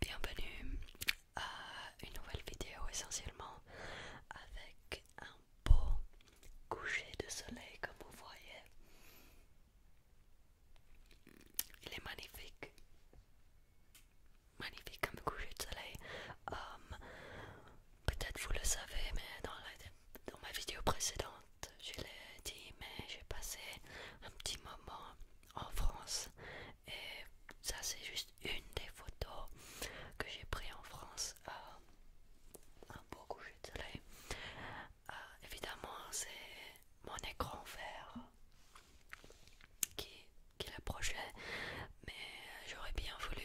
Bienvenue à une nouvelle vidéo essentiellement avec un beau coucher de soleil comme vous voyez. Il est magnifique magnifique comme coucher de soleil. Um, peut-être vous le savez, mais dans, ma vidéo précédente, je l'ai dit, mais j'ai passé un petit moment en France et ça c'est juste une des photos que j'ai pris en France. Um, un beau coucher de soleil. Uh, évidemment, c'est mon écran vert qui, qui l'approchait, mais j'aurais bien voulu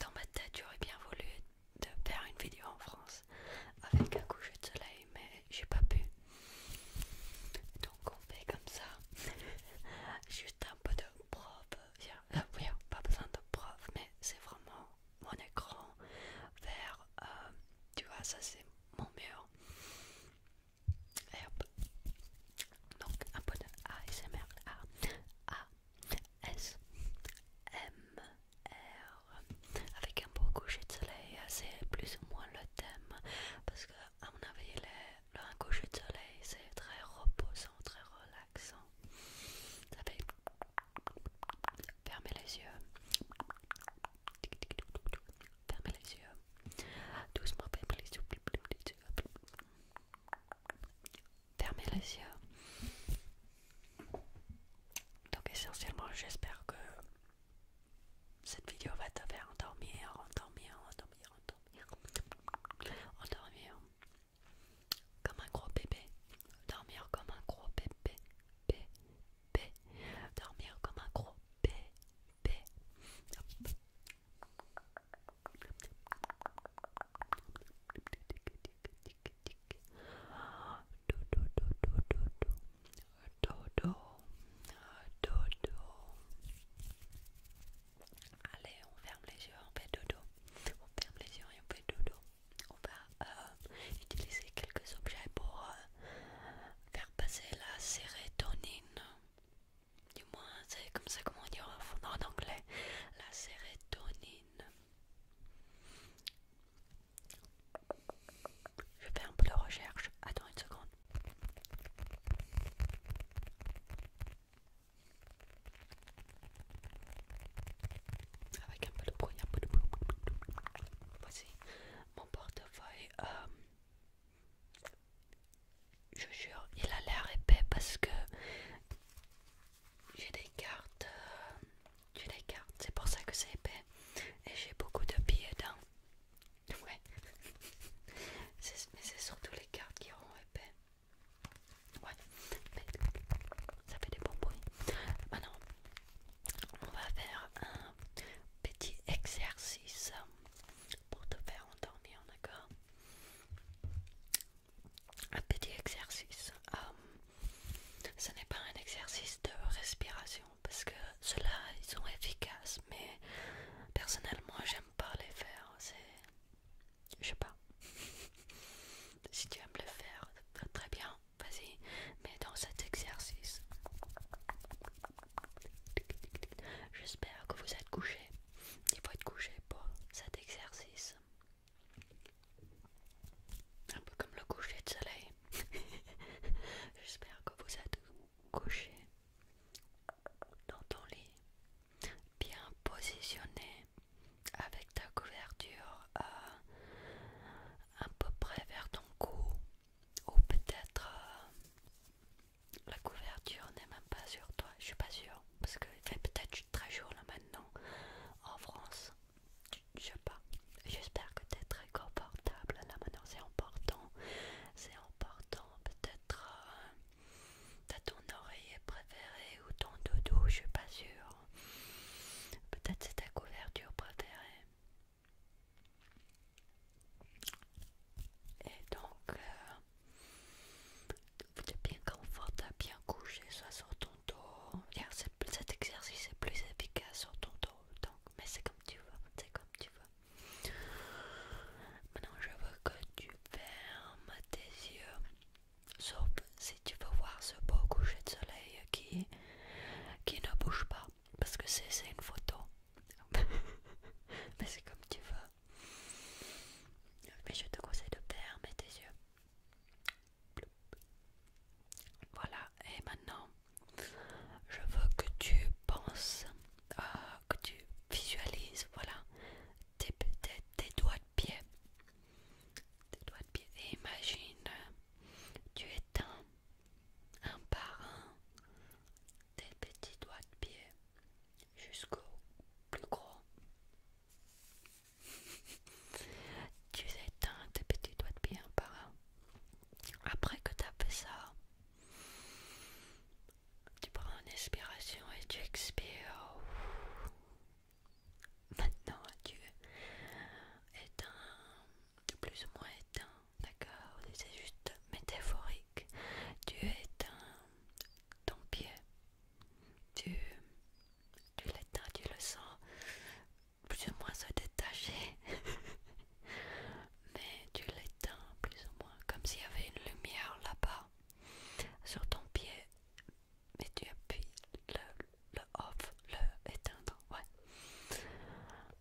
dans ma tête j'aurais bien voulu faire une vidéo en France avec un coucher de soleil mais j'ai pas pu donc on fait comme ça juste un peu de prof. Viens, euh, pas besoin de prof mais c'est vraiment mon écran vers euh, tu vois ça c'est mon mur et hop donc un peu de ASMR. A, A, S, M, R. Avec un beau coucher de soleil. C'est plus ou moins le thème. Parce que, à mon avis, le un coucher de soleil, c'est très reposant, très relaxant. Ça fait fermer les yeux. Fermer les yeux. Doucement, fermez les yeux. Fermez les yeux. Donc essentiellement, j'espère que cette vidéo va te faire endormir, endormir, endormir, endormir, endormir comme un gros bébé, dormir comme un gros bébé, bébé, dormir comme un gros bébé. Dodo, dodo. Allez, on ferme les yeux, on fait dodo. On ferme les yeux et on fait dodo. On va euh, utiliser quelques objets pour euh, faire passer la sérotonine. Du moins, c'est comme ça comment on dit en anglais. La sérotonine. Je fais un peu de recherche. Attends une seconde. Avec un peu de bruit, un peu de Voici mon portefeuille. Euh, je jure, il a l'air épais parce que j'ai des cartes. Euh, j'ai des cartes, c'est pour ça que c'est épais. Et j'ai beaucoup de billets dedans Ouais. mais c'est surtout les cartes qui auront épais. Ouais. ça fait des bons bruits. Maintenant, on va faire un petit exercice pour te faire entendre, d'accord un petit exercice. Euh, ce n'est pas un exercice de respiration parce que ceux-là ils sont efficaces, mais personnellement j'aime pas les faire. C'est. Je sais pas. si tu aimes le faire, très bien, vas-y. Mais dans cet exercice, j'espère que vous êtes couché. Il faut être couché pour cet exercice. Un peu comme le coucher de soleil. J'espère que vous êtes couché dans ton lit, bien positionné, avec ta couverture à euh, à peu près vers ton cou, ou peut-être euh, la couverture n'est même pas sur toi. Je suis pas sûre parce que fait peut-être très chaud là maintenant en France. Je sais pas. J'espère que t'es très confortable là maintenant. C'est important. C'est important. Peut-être euh, t'as ton oreiller préféré ou ton doudou, je suis pas sûre. Peut-être c'est ta couverture préférée. Et donc, euh, vous êtes bien confortable, bien couché, soit sur ton dos. cet exercice est plus efficace sur ton dos. Donc, mais c'est comme tu veux, c'est comme tu veux. Maintenant, je veux que tu fermes tes yeux. Sauf si tu veux voir ce beau coucher de soleil qui, qui ne bouge pas. Parce que c'est une photo. mais c'est comme tu veux. Mais je te conseille de fermer tes yeux. Voilà, et maintenant, je veux que tu penses, euh, que tu visualises, voilà, tes, tes doigts de pied. Tes doigts de pied. imagine, tu éteins un par un tes petits doigts de pied jusqu'au plus gros. tu éteins tes petits doigts de pied par un. Après que tu as fait ça, tu prends une inspiration et tu expires. Maintenant, tu éteins, plus ou moins éteint, d'accord C'est juste métaphorique. Tu éteins ton pied tu l'éteins, tu le sens plus ou moins se détacher, mais tu l'éteins plus ou moins, comme s'il y avait une lumière là-bas sur ton pied, mais tu appuies le, off, le éteindre, ouais.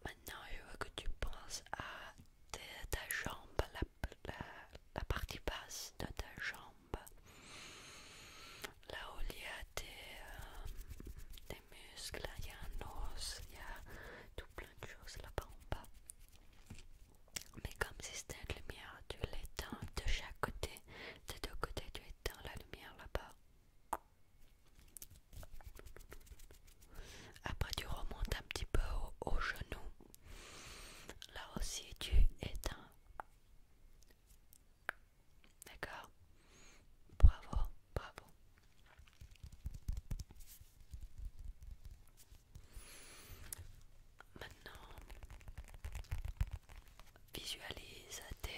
Maintenant, je veux que tu penses à ta, jambe, la, la, partie basse de ta jambe. Là où il y a des, muscles, il y a un os, il y a tout plein de choses là-bas en bas. Mais comme si c'était une lumière, tu l'éteins de chaque côté. Des deux côtés, tu éteins la lumière là-bas. Après, tu remontes un petit peu au, au genou. Là aussi, tu éteins. D'accord Bravo, bravo. Maintenant, visualise tes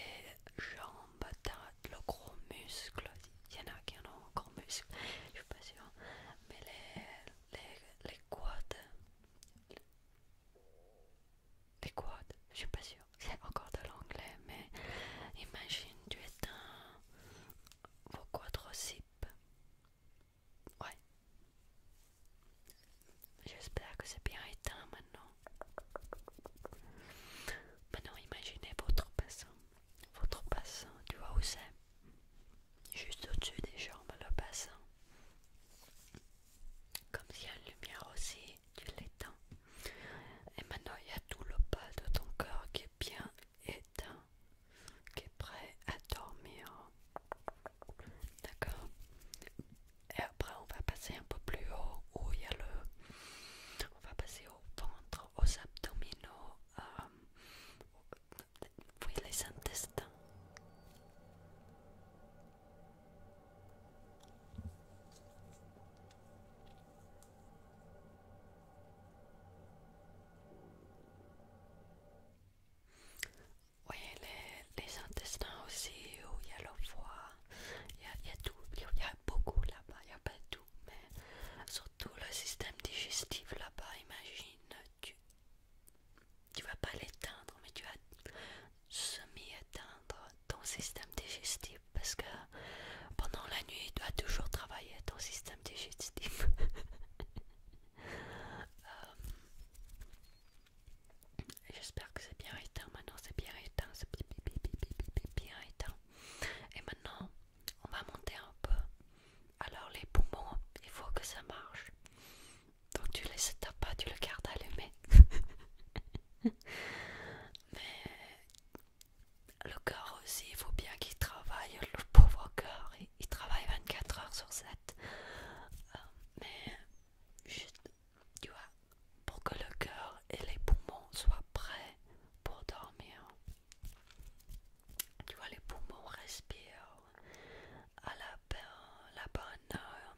jambes, le gros muscle. Il y en a qui en ont un gros muscle, je ne suis pas sûre. Mais les, les, les quads, des quads, je suis pas sûre, c'est encore de l'anglais, mais imagine, tu es vos zip. Ouais. J'espère que c'est bien éteint maintenant. Maintenant, imaginez votre bassin. Votre bassin, tu vois où c'est Juste au-dessus des jambes, le bassin comme s'il y a une lumière aussi, tu l'éteins. Et maintenant il y a tout le bas de ton corps qui est bien éteint, qui est prêt à dormir. D'accord Et après on va passer un peu plus haut où il y a le... On va passer au ventre, aux abdominaux, euh, les intestins. Oui, les, les intestins aussi, où il y a le foie, il y, a tout, il y, a beaucoup là-bas, il n'y a pas tout, mais surtout le système digestif là-bas, imagine, tu, tu vas pas l'éteindre, mais tu vas semi-éteindre ton système digestif parce que pendant la nuit, tu vas toujours travailler ton système digestif. Euh, j'espère que c'est bien éteint. Maintenant, c'est bien éteint. C'est bien éteint. Et maintenant, on va monter un peu. Alors, les poumons, il faut que ça marche. Donc tu laisses ta pas, tu le gardes allumé. Mais le cœur aussi, il faut bien qu'il travaille, le pauvre cœur, il, travaille 24 heures sur 7. Euh, mais juste, tu vois, pour que le cœur et les poumons soient prêts pour dormir. Tu vois, les poumons respirent à la, la bonne heure,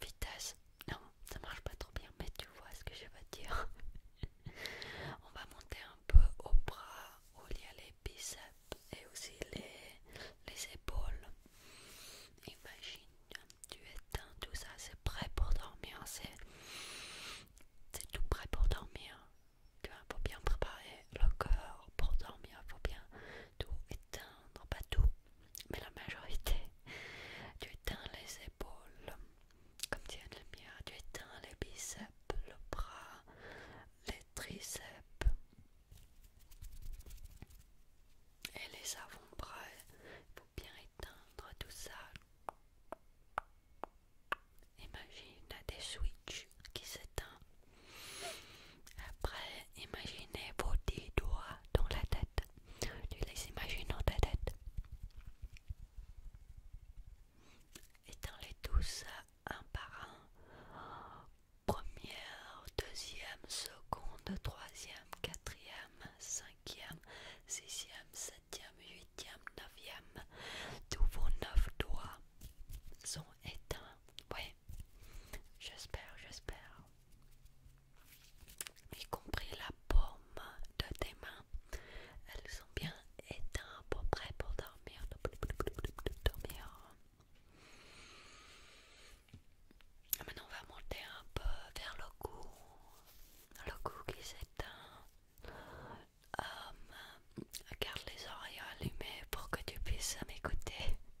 Vitesse, non, ça marche pas trop bien, mais tu vois ce que je veux dire. On va monter un peu au bras où il y a les biceps et aussi les, les épaules. Imagine, tu éteins tout ça, c'est prêt pour dormir, c'est tout prêt pour dormir. tu Il faut bien préparer le corps pour dormir, faut bien tout éteindre, pas tout, mais la majorité, tu éteins les épaules, comme tu as de lumière, hein. tu éteins les biceps, le bras, les triceps et les avant-bras, il faut bien éteindre tout ça. Imagine des switches qui s'éteignent après, imaginez vos dix doigts dans la tête. Tu les imagines dans ta tête. Étends-les tous un par un. Première, deuxième, seconde, troisième, quatrième, cinquième, sixième, septième, huitième, neuvième. Tous vos neuf doigts sont éteint. Ouais, j'espère, j'espère. Y compris la paume de tes mains, elles sont bien éteintes pour près pour dormir. dormir. Maintenant, on va monter un peu vers le cou, le cou qui s'éteint. Hum, garde les oreilles allumées pour que tu puisses m'écouter.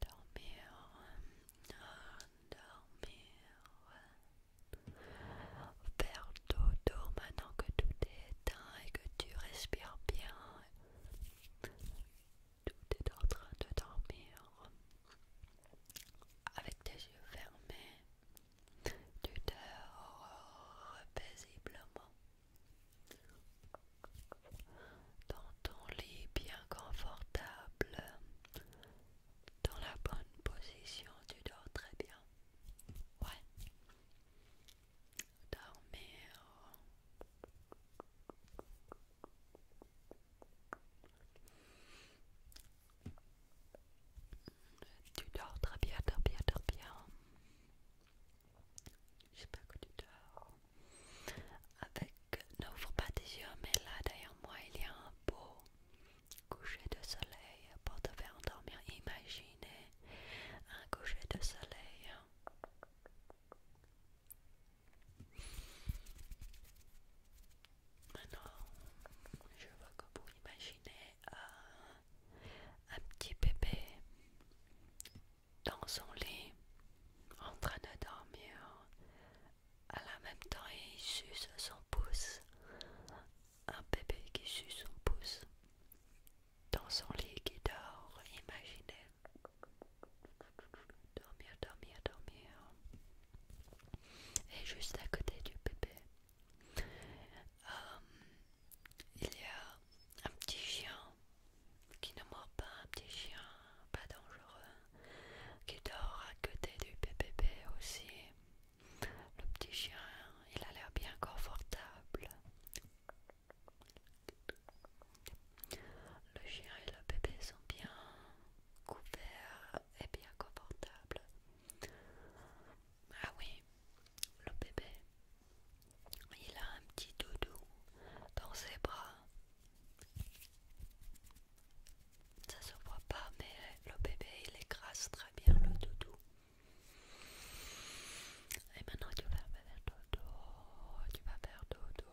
dormir, dormir, faire dodo maintenant que tout est éteint et que tu respires bien, tout est en train de dormir, avec tes yeux fermés, tu dors paisiblement dans ton lit bien confortable, dans la bonne position, tu dors très bien. Ouais. Dormir. Tu dors très bien, dors bien, dors bien. Je sais pas que tu dors. Avec n'ouvre pas tes yeux, mais là derrière moi il y a un beau coucher de soleil pour te faire endormir. Imaginez un coucher de soleil. Maintenant, je vois que vous imaginez euh, un petit bébé dans son lit en train de dormir. À la même temps, il suce son pouce. Un bébé qui suce son pouce dans son lit qui dort. Imaginez. Dormir, dormir, dormir. Et juste à côté du bébé, euh, il y a un petit chien qui ne mord pas un petit chien, pas dangereux, qui dort à côté du bébé aussi. Le petit chien, il a l'air bien confortable. Le chien et le bébé sont bien couverts et bien confortables. Ah oui, le bébé, il a un petit doudou dans ses bras ça se voit pas, mais le bébé il écrase très bien le doudou. Et maintenant tu vas faire dodo, tu vas faire dodo.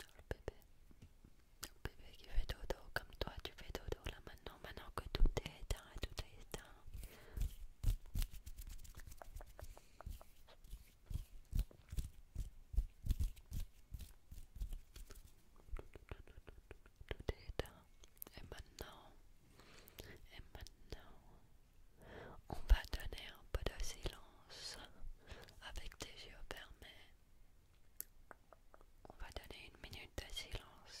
Le bébé, le bébé qui fait dodo comme toi, tu fais dodo là maintenant, maintenant que tout est éteint, tout est éteint. Et maintenant, et maintenant, on va donner un peu de silence avec tes yeux fermés. On va donner une minute de silence.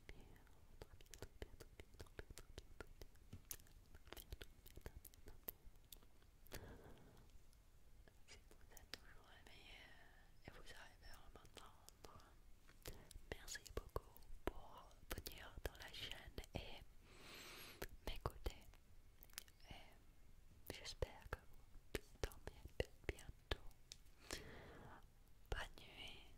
Si vous êtes toujours et vous arrivez à m'entendre, merci beaucoup pour venir dans la chaîne et m'écouter. j'espère que vous dormez bientôt. Bonne nuit.